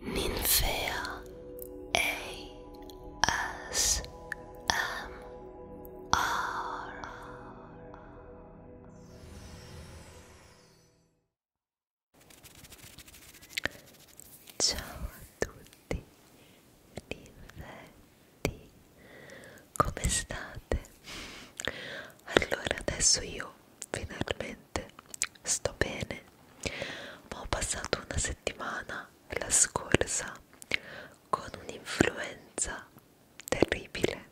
Ninfea ASMR Ciao a tutti ninfetti come state? Allora adesso io finalmente sto bene ma ho passato una settimana la scorsa con un'influenza terribile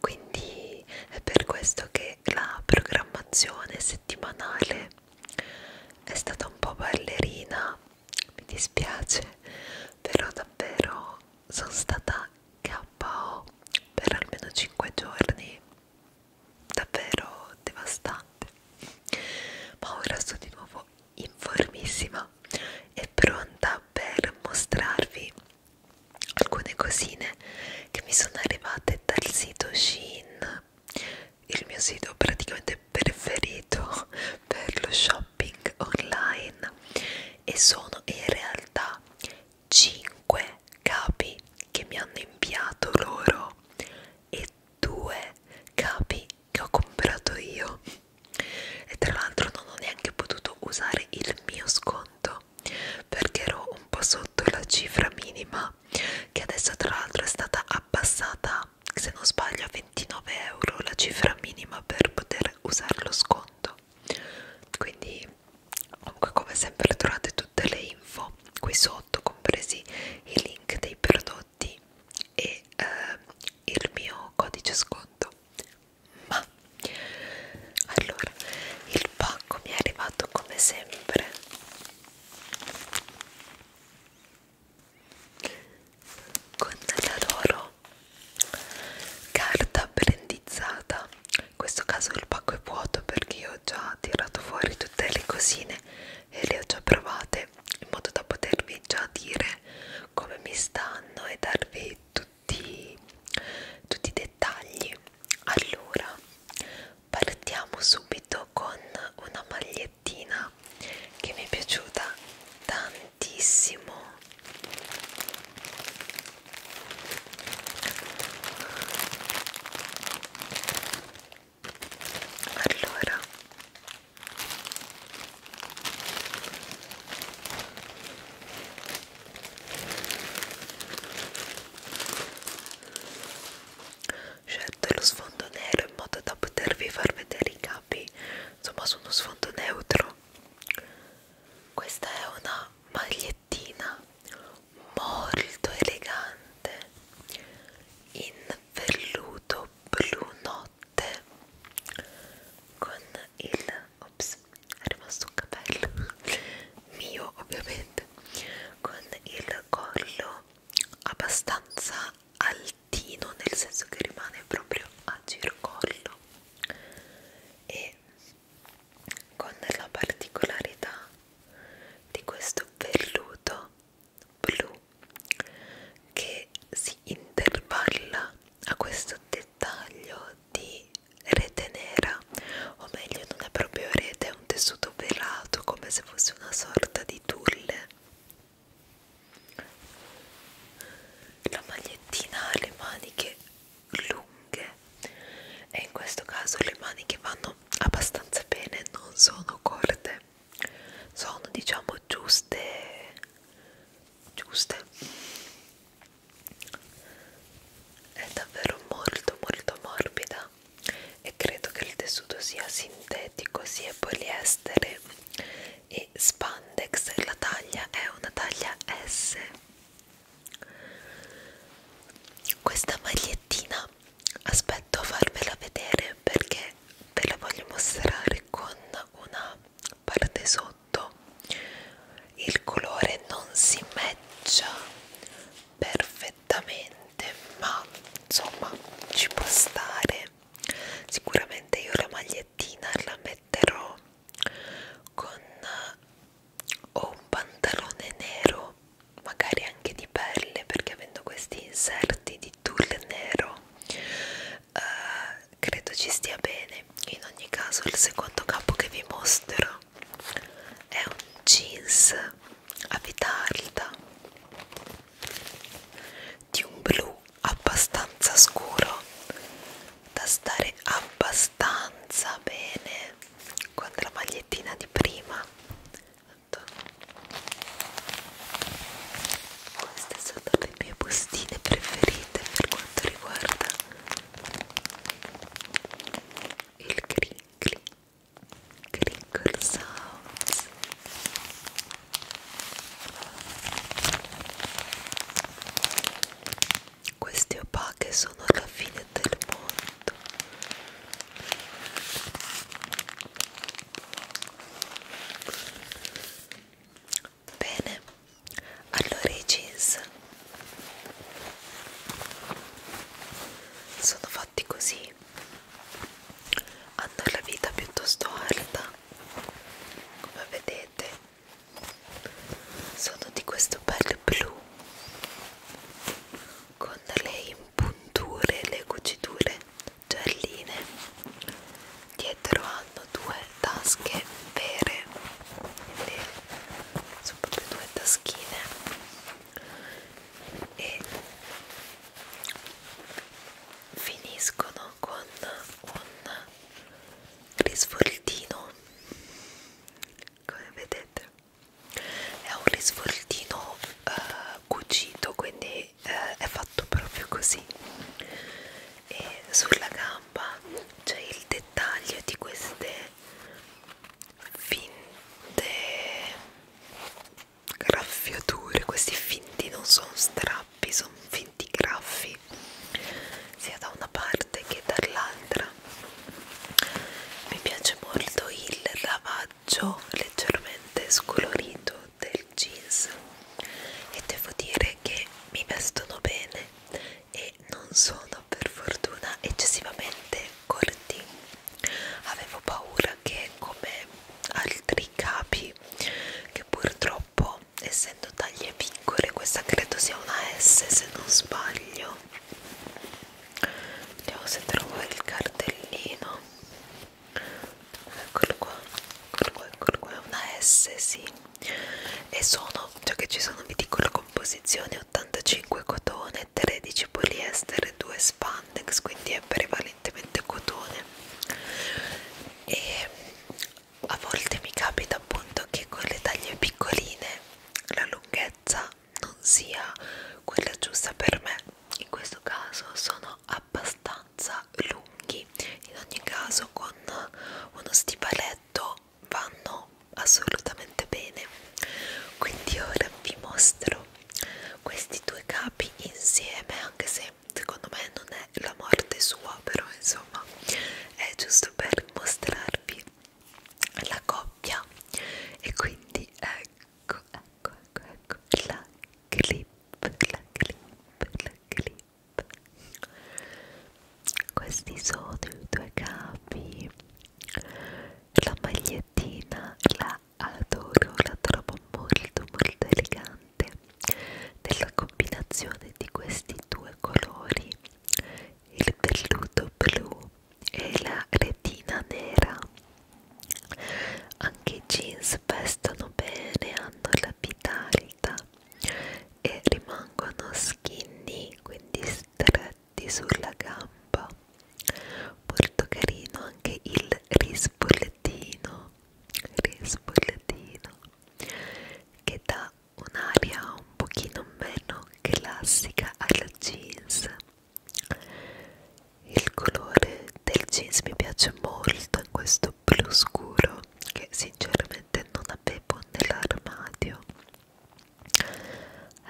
quindi è per questo che la programmazione settimanale è stata un po' ballerina mi dispiace però davvero sono stata KO per almeno 5 giorni davvero devastante ma ora sono di nuovo in formissima e pronta per mostrarvi alcune cosine che mi sono arrivate dal sito Shein il mio sito praticamente preferito per lo shopping online e sono in realtà 5 capi che mi hanno inviato loro e 2 capi che ho comprato io e tra l'altro non ho neanche potuto usare il mio sconto perché ero un po' sotto la cifra minima che adesso tra l'altro è stata abbassata se non sbaglio a 29 euro la cifra minima per poter usare lo sconto quindi comunque come sempre trovate tutte le info qui sotto compresi i link dei prodotti e eh, il mio codice sconto ma allora il pacco mi è arrivato come sempre con la loro carta brandizzata in questo caso il pacco è vuoto perché io ho già tirato fuori tutte le cosine e le ho già provate in modo da potervi già dire come mi stanno e darvi tutti, tutti i dettagli allora partiamo subito con una magliettina che mi è piaciuta tantissimo allora scelto lo sfondo nero in modo da potervi far vedere i capi insomma su uno sfondo neutro questa è una magliettina molto elegante in velluto blu notte con il ops è rimasto un capello mio ovviamente con il collo abbastanza altino nel senso che rimane proprio a gircollo e con la particolarità di questo velluto blu che si intervalla a questo dettaglio di rete nera o meglio non è proprio rete, è un tessuto velato come se fosse una sorta di tulle la magliettina ha le maniche lunghe e in questo caso le maniche vanno abbastanza bene non sono corte sono diciamo giuste giuste è davvero molto molto morbida e credo che il tessuto sia sintetico sia poliestere e spandex la taglia è una taglia S questa magliettina aspetto a farvela vedere perché ve la voglio mostrare con una parte sotto il colore non si matcha perfettamente ma insomma ci può stare sicuramente io la magliettina la metterò con o un pantalone nero magari anche di pelle perché avendo questi inserti di tulle nero eh, credo ci stia bene in ogni caso il secondo capo che vi mostro è un jeans a vita alta di un blu abbastanza scuro da stare abbastanza bene con la magliettina di prima queste sono le mie bustine preferite per quanto riguarda il crinkly crinkle sounds queste opache sono la fine del mondo bene allora i jeans sono fatti così hanno la vita piuttosto alta come vedete sono di questo bel blu con le impunture le cuciture gialline dietro hanno due tasche vere quindi sono proprio due taschine e finiscono con un risvoltino come vedete è un risvoltino eh, cucito quindi eh, è fatto proprio così e sulla gamba c'è il dettaglio di queste finte graffiature questi finti non sono strappi sono finti graffi sia da una parte parte che dall'altra mi piace molto il lavaggio leggermente scolorito del jeans e devo dire che mi vestono bene e non sono per fortuna eccessivamente corti avevo paura che come altri capi che purtroppo essendo taglie piccole questa credo sia una S se non sbaglio vediamo se trovo il cartellino eccolo qua eccolo qua, eccolo qua. è una S sì e sono già cioè che ci sono vi dico la composizione 85 cotone 13 poliestere 2 spandex quindi è prevalentemente cotone e a volte mi capita appunto che con le taglie piccoline la lunghezza non sia quella giusta per me in questo caso sono abbastanza lunghi in ogni caso con uno stivaletto vanno assolutamente bene quindi ora vi mostro questi due capi insieme anche se secondo me non è la morte sua però insomma è giusto per mostrarvi la coppia e quindi ecco ecco ecco ecco la clip la clip la clip questi sono i due capi la magliettina la adoro la trovo molto molto elegante della combinazione di questi due colori il velluto blu e la retina nera. Anche i jeans vestono bene, hanno la vita alta e rimangono skinny, quindi stretti sulla gamba. Molto carino anche il rispollettino, rispollettino che dà un'aria un pochino meno classica alla jeans il colore del jeans mi piace molto in questo blu scuro che sinceramente non avevo nell'armadio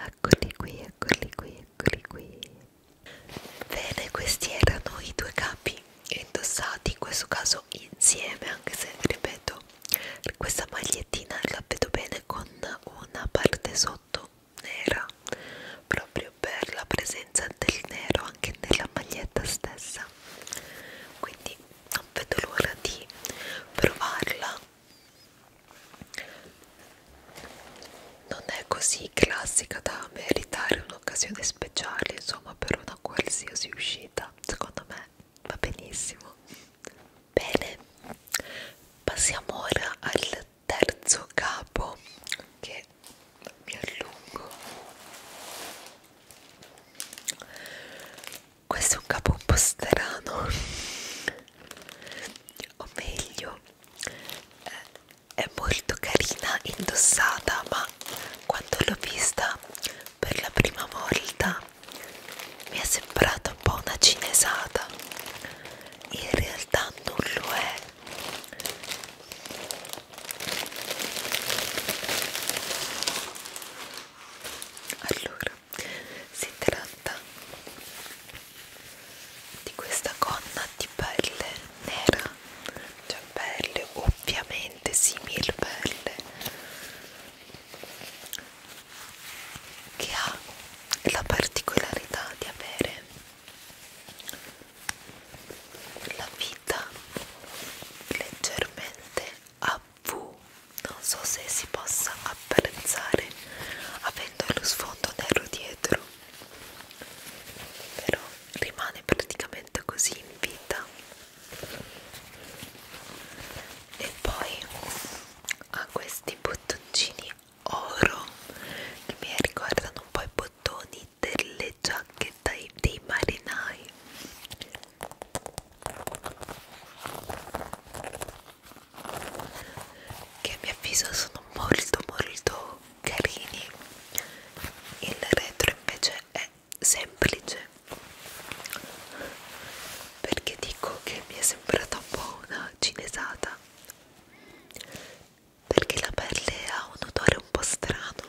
eccoli qui eccoli qui eccoli qui bene questi erano i due capi indossati in questo caso insieme anche se ripeto questa magliettina la vedo bene con una parte sotto nera proprio per la presenza del nero anche nella maglietta stessa quindi non vedo l'ora di provarla non è così classica da meritare un'occasione speciale insomma per una qualsiasi uscita secondo me va benissimo bene passiamo ora al terzo capo che mi allungo questo è un capo un po' strano o meglio eh, è molto carina indossata ma quando l'ho vista per la prima volta mi è sembrata un po' una cinesata in realtà non lo è allora si tratta di questa gonna di pelle nera cioè pelle ovviamente simil pelle che ha la particolarità di avere la vita leggermente a V, non so se si possa apprezzare avendo lo sfondo nero dietro, però rimane praticamente così in vita e poi ha questi bottoncini oro che mi ricordano un po' i bottoni delle giacche dei, dei marinai che a mio avviso sono molto molto carini il retro invece è semplice perché dico che mi è sembrata un po' una cinesata perché la pelle ha un odore un po' strano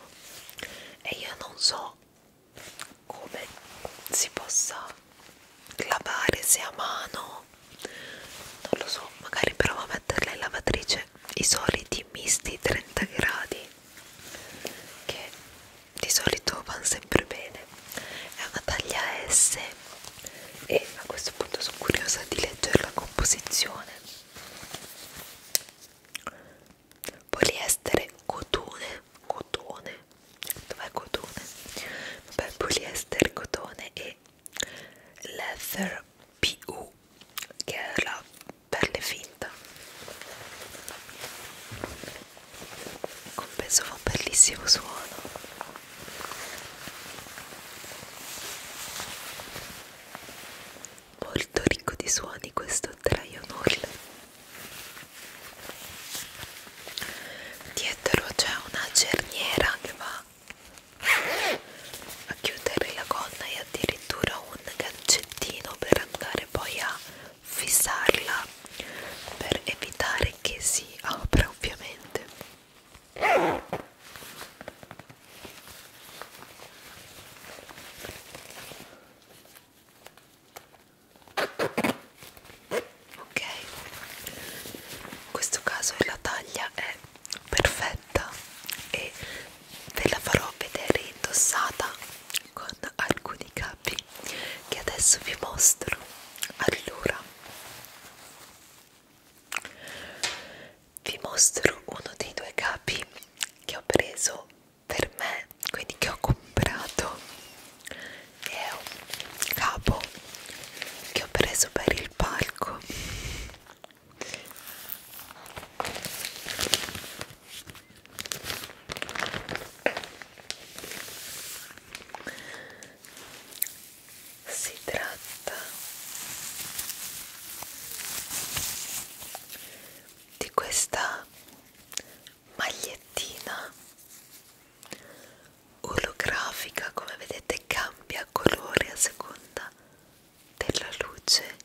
e io non so come si possa lavare se a mano non lo so magari provo a metterla in lavatrice i soliti misti 30 gradi che di solito vanno sempre bene è una taglia S e a questo punto sono curiosa di leggere la composizione poliestere cotone cotone dov'è cotone? vabbè poliestere cotone e leather PU che è la pelle finta in compenso fa un bellissimo suono molto ricco di suoni questo Dragon Hall dietro c'è una cerniera che va a chiudere la gonna e addirittura un gancettino per andare poi a fissarla per evitare che si apra ovviamente ok in questo caso la taglia è perfetta e ve la farò vedere indossata con alcuni capi capi che adesso vi mostro allora vi mostro uno dei due capi che ho preso per me quindi che ho comprato è un capo che ho preso per il palco si tratta di questa magliettina olografica, come vedete cambia colore a seconda della luce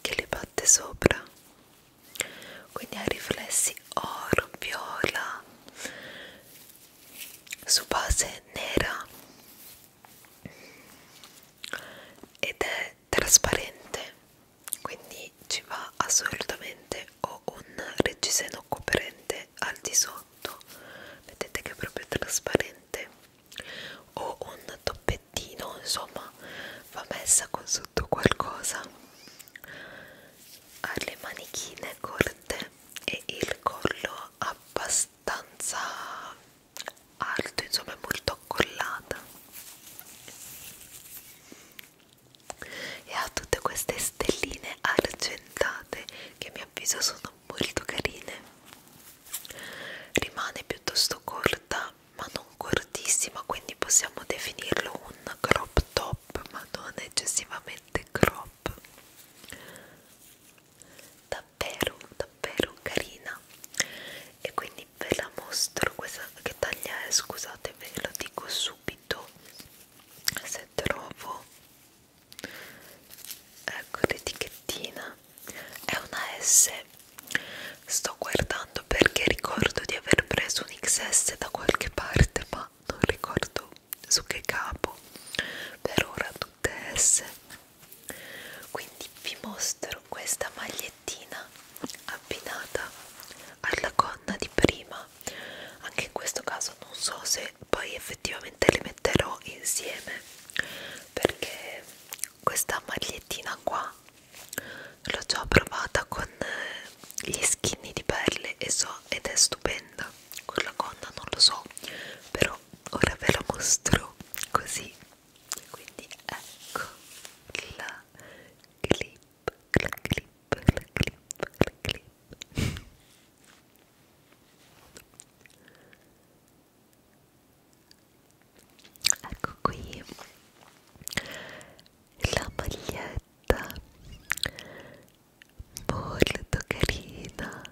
che le batte sopra quindi ha riflessi oro viola su base nera ed è trasparente quindi ci va assolutamente o un reggiseno coprente al di sotto vedete che è proprio trasparente o un toppettino insomma va messa con sotto qualcosa ha le manichine corte e il collo abbastanza alto insomma è molto collata e ha tutte queste stelline argentate che a mio avviso sono molto carine rimane piuttosto corta ma non cortissima quindi possiamo definirlo un crop top ma non eccessivamente crop davvero davvero carina e quindi ve la mostro questa che taglia è eh, scusate ve lo dico subito se trovo ecco l'etichettina è una S sto guardando perché ricordo di aver preso un XS da qualche parte ma non ricordo su che capo per ora tutte S quindi vi mostro questa magliettina abbinata alla gonna di prima anche in questo caso non so se poi effettivamente le metterò insieme perché questa magliettina qua l'ho già provata con eh, gli skinny di pelle e so ed è stupenda con la gonna non lo so però ora ve la mostro così quindi ecco la clip la clip la clip la clip ecco qui la maglietta molto carina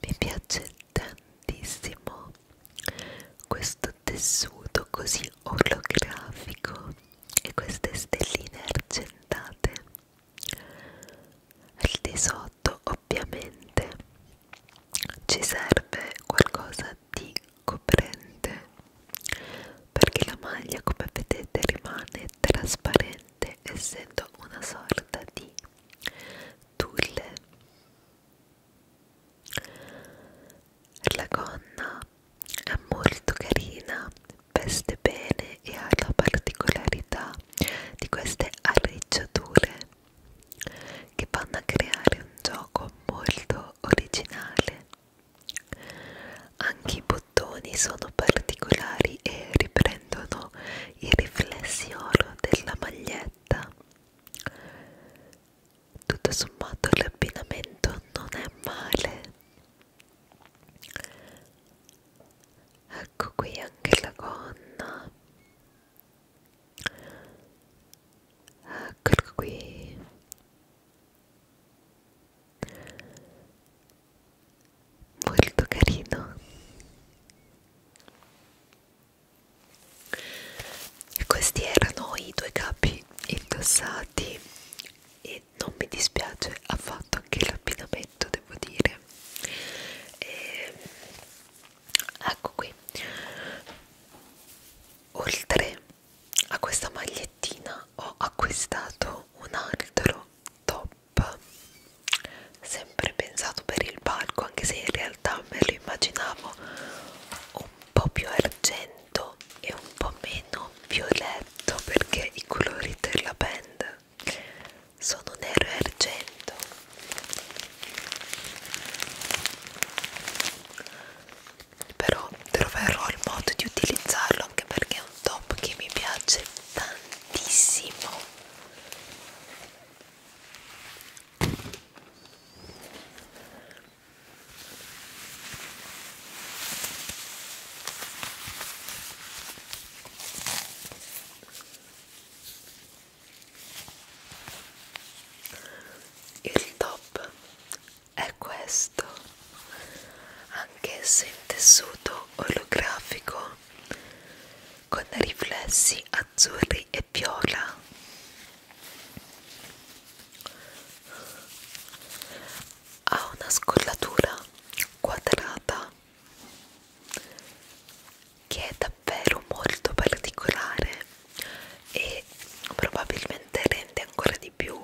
mi piace tantissimo questo tessuto così olografico e queste stelline argentate al di sotto ovviamente ci serve qualcosa di coprente perché la maglia come vedete rimane trasparente essendo una sorta di tulle la gonna è molto carina veste bene e ha la particolarità di queste arricciature che vanno a creare un gioco molto originale. Anche i bottoni sono particolari e riprendono il riflessi oro della maglietta. Tutto sommato l'abbinamento non è male. Ecco qui anche la gonna eccolo qui molto carino questi erano i due capi indossati e non mi dispiace affatto anche l'abbinamento devo dire e, ecco qui oltre a questa magliettina ho acquistato un altro top sempre pensato per il palco anche se in realtà me lo immaginavo un po' più argento e un po' meno violetto perché i colori della band sono nero e argento però troverò il modo di utilizzarlo anche perché è un top che mi piace tantissimo il top è questo anche se in tessuto olografico con riflessi azzurri e viola ha una scollatura quadrata che è davvero molto particolare e probabilmente rende ancora di più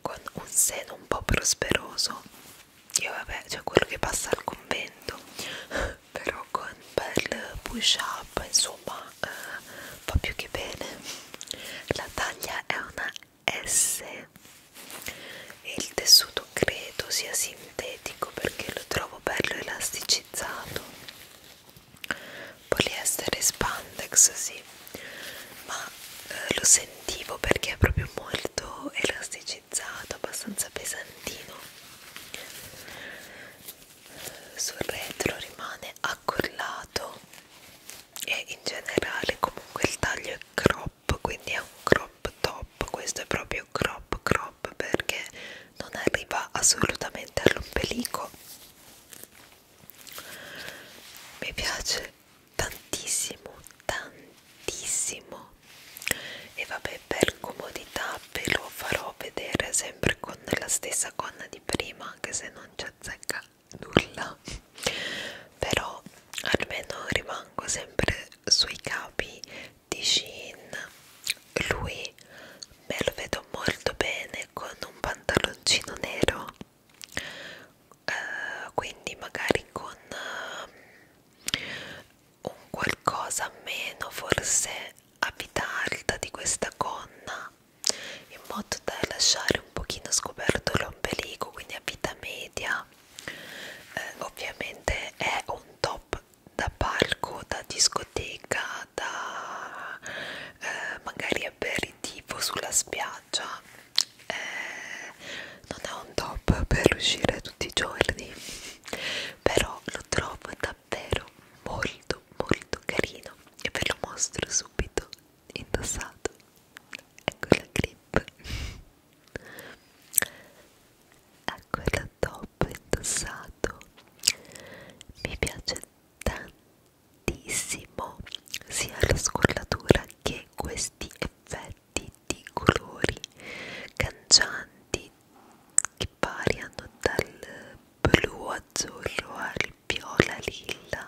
con un seno un po' prosperoso io vabbè cioè quello che passa al convento però con bel push up insomma eh, va più che bene la taglia è una S e il tessuto credo sia sintetico perché lo trovo bello elasticizzato poliestere spandex sì ma eh, lo sentivo perché è proprio molto elasticizzato abbastanza pesantino sul retro rimane accollato e in generale comunque il taglio è crop quindi è un crop top questo è proprio crop crop perché non arriva assolutamente all'ombelico mi piace tantissimo tantissimo e vabbè per comodità ve lo farò vedere sempre con la stessa gonna di prima anche se non ci azzecca nulla però almeno rimango sempre sui capi di Shein lui me lo vedo molto bene con un pantaloncino nero uh, quindi magari con uh, un qualcosa meno forse a vita alta di questa gonna in modo da lasciare un pochino scoperto l'ombelico quindi a vita media eh, ovviamente è un top da palco da discoteca da eh, magari aperitivo sulla spiaggia eh, non è un top per uscire tutti i giorni però lo trovo davvero molto molto carino e ve lo mostro subito indossato ecco la clip ecco la top indossato mi piace tantissimo sia la scollatura che questi effetti di colori cangianti che variano dal blu azzurro al viola lilla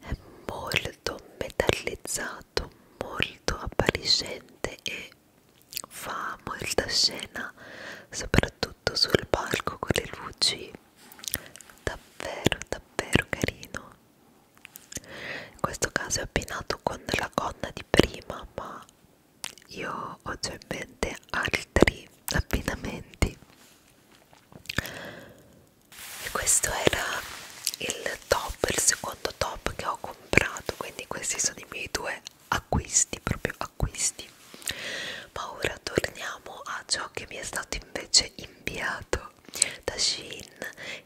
è molto metallizzato molto appariscente e fa molta scena soprattutto sul palco con le luci davvero davvero carino in questo caso è abbinato con la gonna di prima ma io ho già in mente altri abbinamenti e questo era il top il secondo top che ho comprato quindi questi sono i miei due acquisti, proprio acquisti. Ma ora torniamo a ciò che mi è stato invece inviato da Shein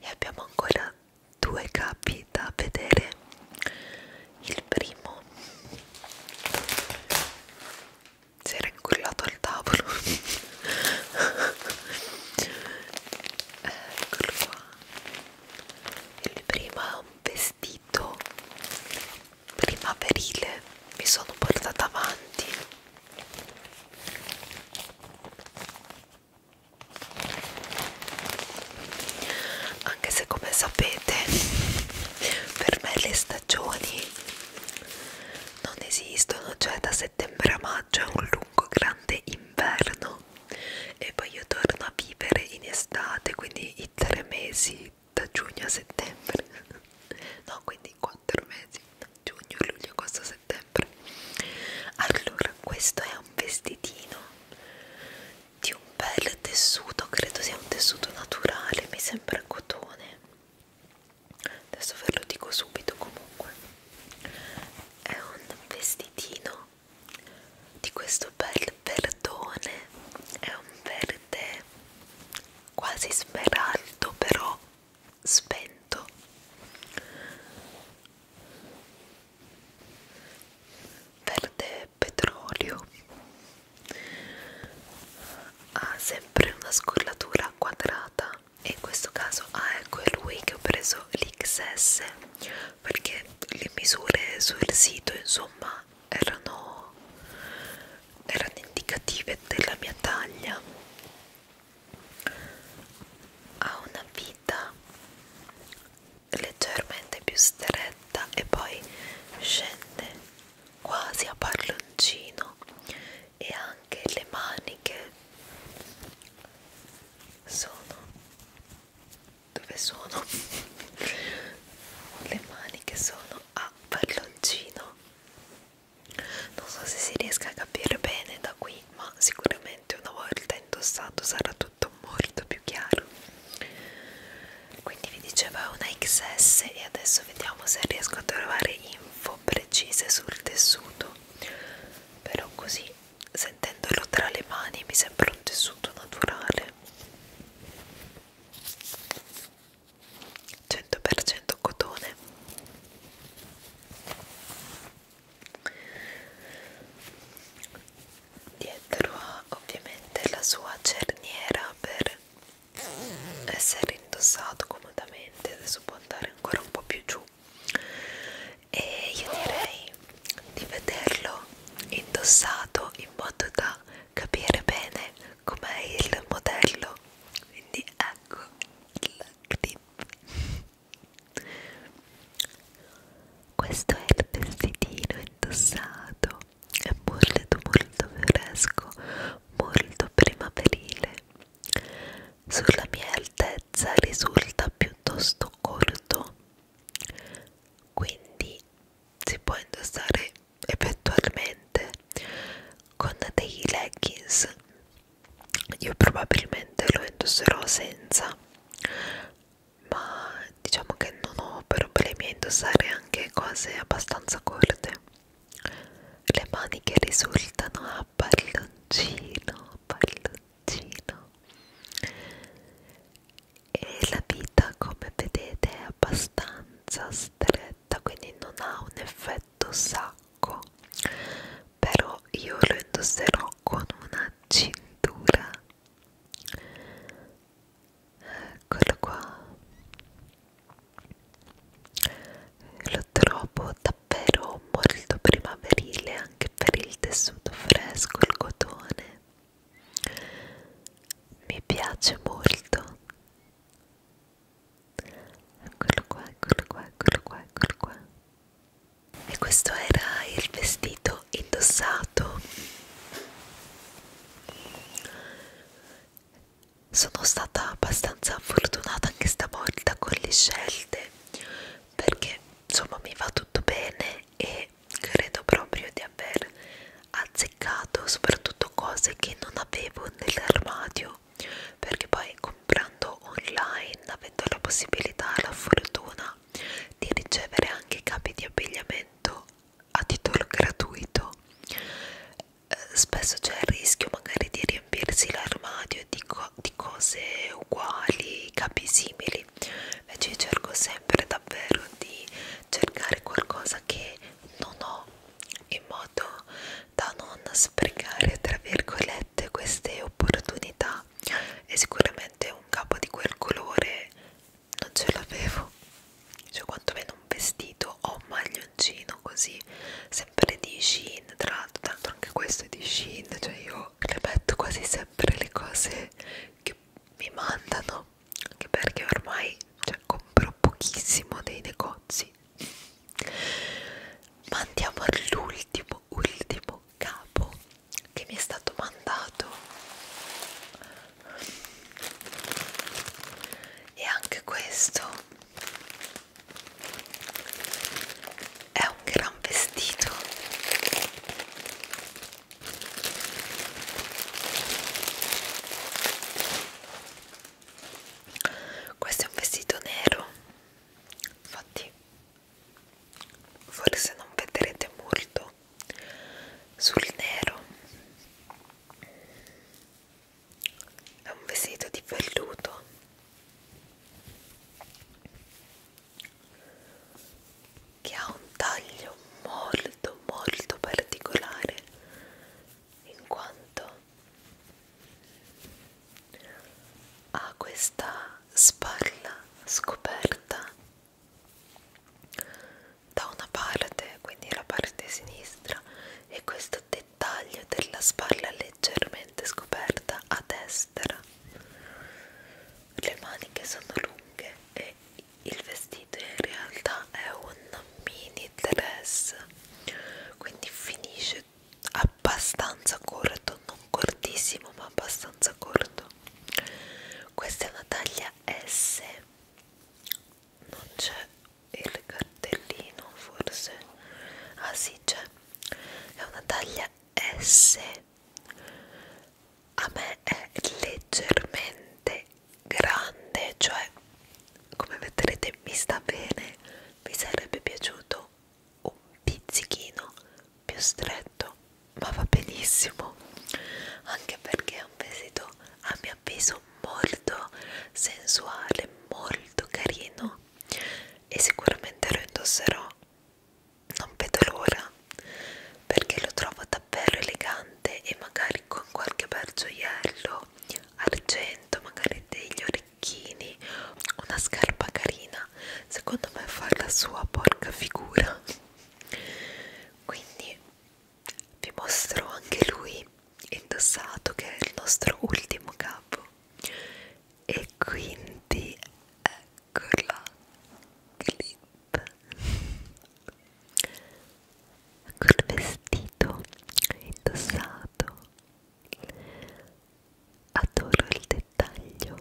e abbiamo ancora due capi da vedere. Il primo si era incullato al tavolo. Eccolo qua. Il primo è un vestito vestito primaverile mi sono portata avanti anche se come sapete per me le stagioni non esistono cioè da settembre a maggio è un lungo grande inverno e poi io torno a vivere in estate quindi i tre mesi da giugno a settembre no quindi i quattro mesi giugno, luglio, agosto, settembre allora questo è un vestitino di un bel tessuto credo sia un tessuto naturale mi sembra cotone adesso ve lo dico subito comunque è un vestitino di questo bel verdone è un verde quasi smeraldo però spento verde petrolio ha sempre una scollatura quadrata e in questo caso ah, ecco è lui che ho preso l'XS perché le misure sul sito insomma ma erano, erano indicative della mia taglia ha una vita leggermente più stretta e poi scende quasi a palloncino e anche le maniche sono dove sono le mani che sono a palloncino non so se si riesca a capire bene da qui ma sicuramente una volta indossato sarà tutto molto più chiaro quindi vi dicevo è una XS e adesso vediamo se riesco a trovare info precise sul tessuto però così sentendolo tra le mani mi sembra un tessuto naturale 100% cotone dietro ha ovviamente la sua cerniera per essere indossato comodamente adesso può andare ancora un po' più giù e io direi di vederlo indossato in modo da capire bene com'è il modello quindi ecco il clip questo è il vestitino indossato è molto molto fresco molto primaverile sulla mia altezza risulta piuttosto corto quindi si può indossare eventualmente con dei leggings io probabilmente lo indosserò senza ma diciamo che non ho problemi a indossare anche cose abbastanza corte le maniche risultano a palloncino palloncino e la vita come vedete è abbastanza stretta quindi non ha un effetto sacco però io lo indosserò con una cintura eccolo qua lo trovo davvero molto primaverile anche per il tessuto fresco il cotone mi piace molto eccolo qua eccolo qua eccolo qua eccolo qua e questo era il vestito indossato sono stata abbastanza fortunata anche stavolta con le scelte perché insomma mi va tutto bene e perché credo proprio di aver azzeccato soprattutto cose che non avevo nell'armadio perché poi comprando online avendo la possibilità la fortuna di ricevere anche capi di abbigliamento a titolo gratuito eh, spesso c'è il rischio magari di riempirsi l'armadio di, co di cose uguali capi simili invece io cerco sempre davvero di cercare qualcosa che non ho in modo da non sprecare tra virgolette queste opportunità e sicuramente un capo di quel colore non ce l'avevo cioè quantomeno un vestito o un maglioncino così sempre di Shein tra l'altro tanto anche questo è di Shein cioè io le metto quasi sempre le cose che mi mandano anche perché ormai cioè, compro pochissimo dei negozi ma andiamo all'ultimo ultimo capo che mi è stato mandato e anche questo è un gran vestito questo è un vestito nero infatti forse non vedrete molto sul nero è un vestito di velluto che ha un taglio molto molto particolare in quanto ha questa spalla scoperta da una parte quindi la parte sinistra e questo dettaglio della spalla leggermente scoperta a destra le maniche sono lunghe e il vestito in realtà è un mini dress quindi finisce abbastanza corto non cortissimo ma abbastanza corto questa è una taglia S non c'è il cartellino forse ah sì c'è è una taglia S grande a me è leggermente grande cioè come vedrete mi sta bene mi sarebbe piaciuto un pizzichino più stretto ma va benissimo anche perché è un vestito a mio avviso molto sensuale molto carino e sicuramente lo indosserò non vedo l'ora perché lo trovo davvero elegante e magari con qualche bel gioiello argento magari degli orecchini una scarpa carina secondo me fa la sua porca figura quindi vi mostro anche lui indossato che è il nostro ultimo capo e quindi ecco con la clip col vestito indossato adoro il dettaglio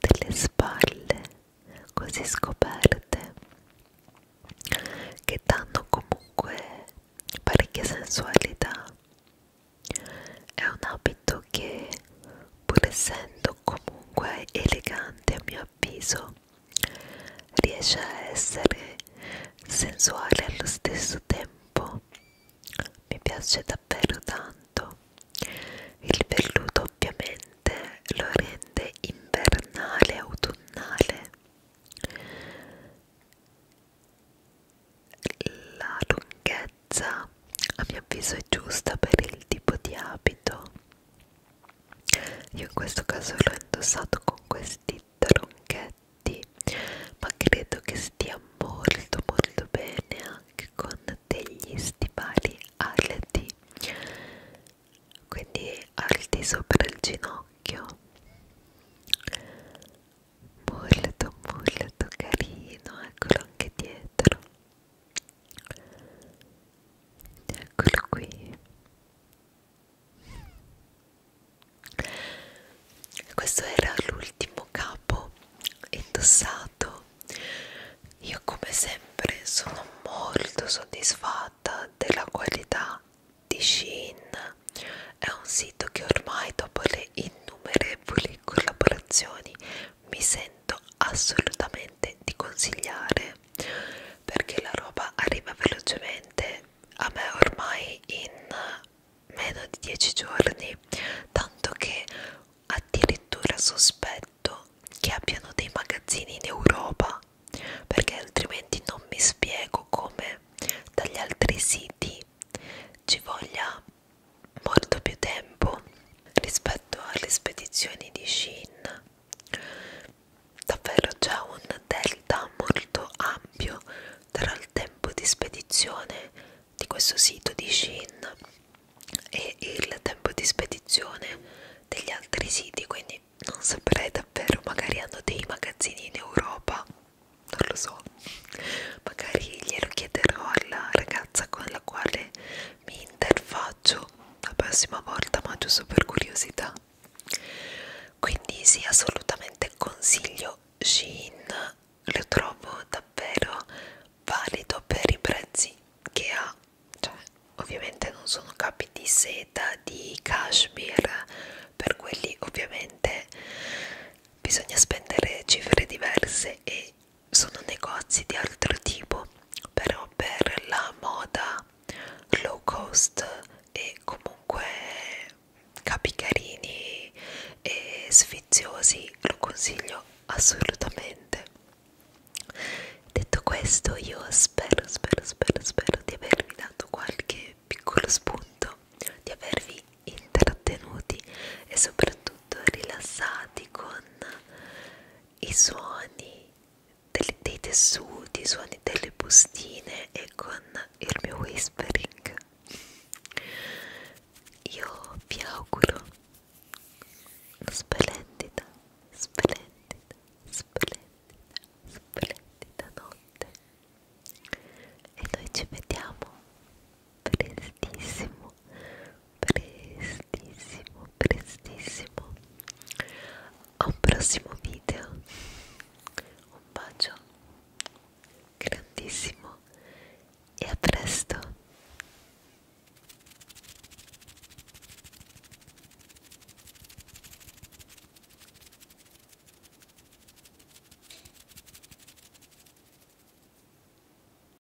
delle spalle così scoperte che danno comunque parecchia sensualità è un abito detto che pur essendo comunque elegante a mio avviso riesce a essere sensuale allo stesso tempo mi piace davvero tanto il velluto ovviamente lo rende invernale autunnale la lunghezza lunghezza a mio avviso è giusta per il tipo di abito io in questo caso l'ho indossato con questi tronchetti ma credo che stia molto molto bene anche con degli stivali alti quindi alti sopra il ginocchio molto molto carino eccolo anche dietro eccolo qui questo era l'ultimo capo indossato io come sempre sono molto soddisfatta della qualità di Shein è un sito che ormai dopo le innumerevoli collaborazioni mi sento assolutamente di consigliare perché la roba arriva velocemente a me ormai in meno di 10 giorni tanto che addirittura sospetto che abbiano dei magazzini in Europa perché altrimenti non mi spiego come dagli altri siti ci voglia molto più tempo rispetto alle spedizioni di Shin. Davvero c'è un delta molto ampio tra il tempo di spedizione di questo sito di Shin e il tempo di spedizione degli altri siti, quindi non saprei davvero, magari hanno dei magazzini in Europa, non lo so, magari glielo chiederò alla ragazza con la quale mi interfaccio la prossima volta ma giusto per curiosità quindi sì assolutamente consiglio Shein lo trovo davvero valido per i prezzi che ha cioè ovviamente non sono capi di seta di cashmere per quelli ovviamente bisogna spendere cifre diverse e sono negozi di altro tipo però per la moda low cost e comunque capi carini e sfiziosi lo consiglio assolutamente detto questo io spero spero spero spero di avervi dato qualche piccolo spunto di avervi intrattenuti e soprattutto molto rilassati con i suoni dei, dei tessuti, i suoni delle bustine e con il mio whispering. Io vi auguro una splendida, splendida, splendida, splendida notte e noi ci vediamo prestissimo prestissimo prestissimo a un prossimo video un bacio grandissimo e a presto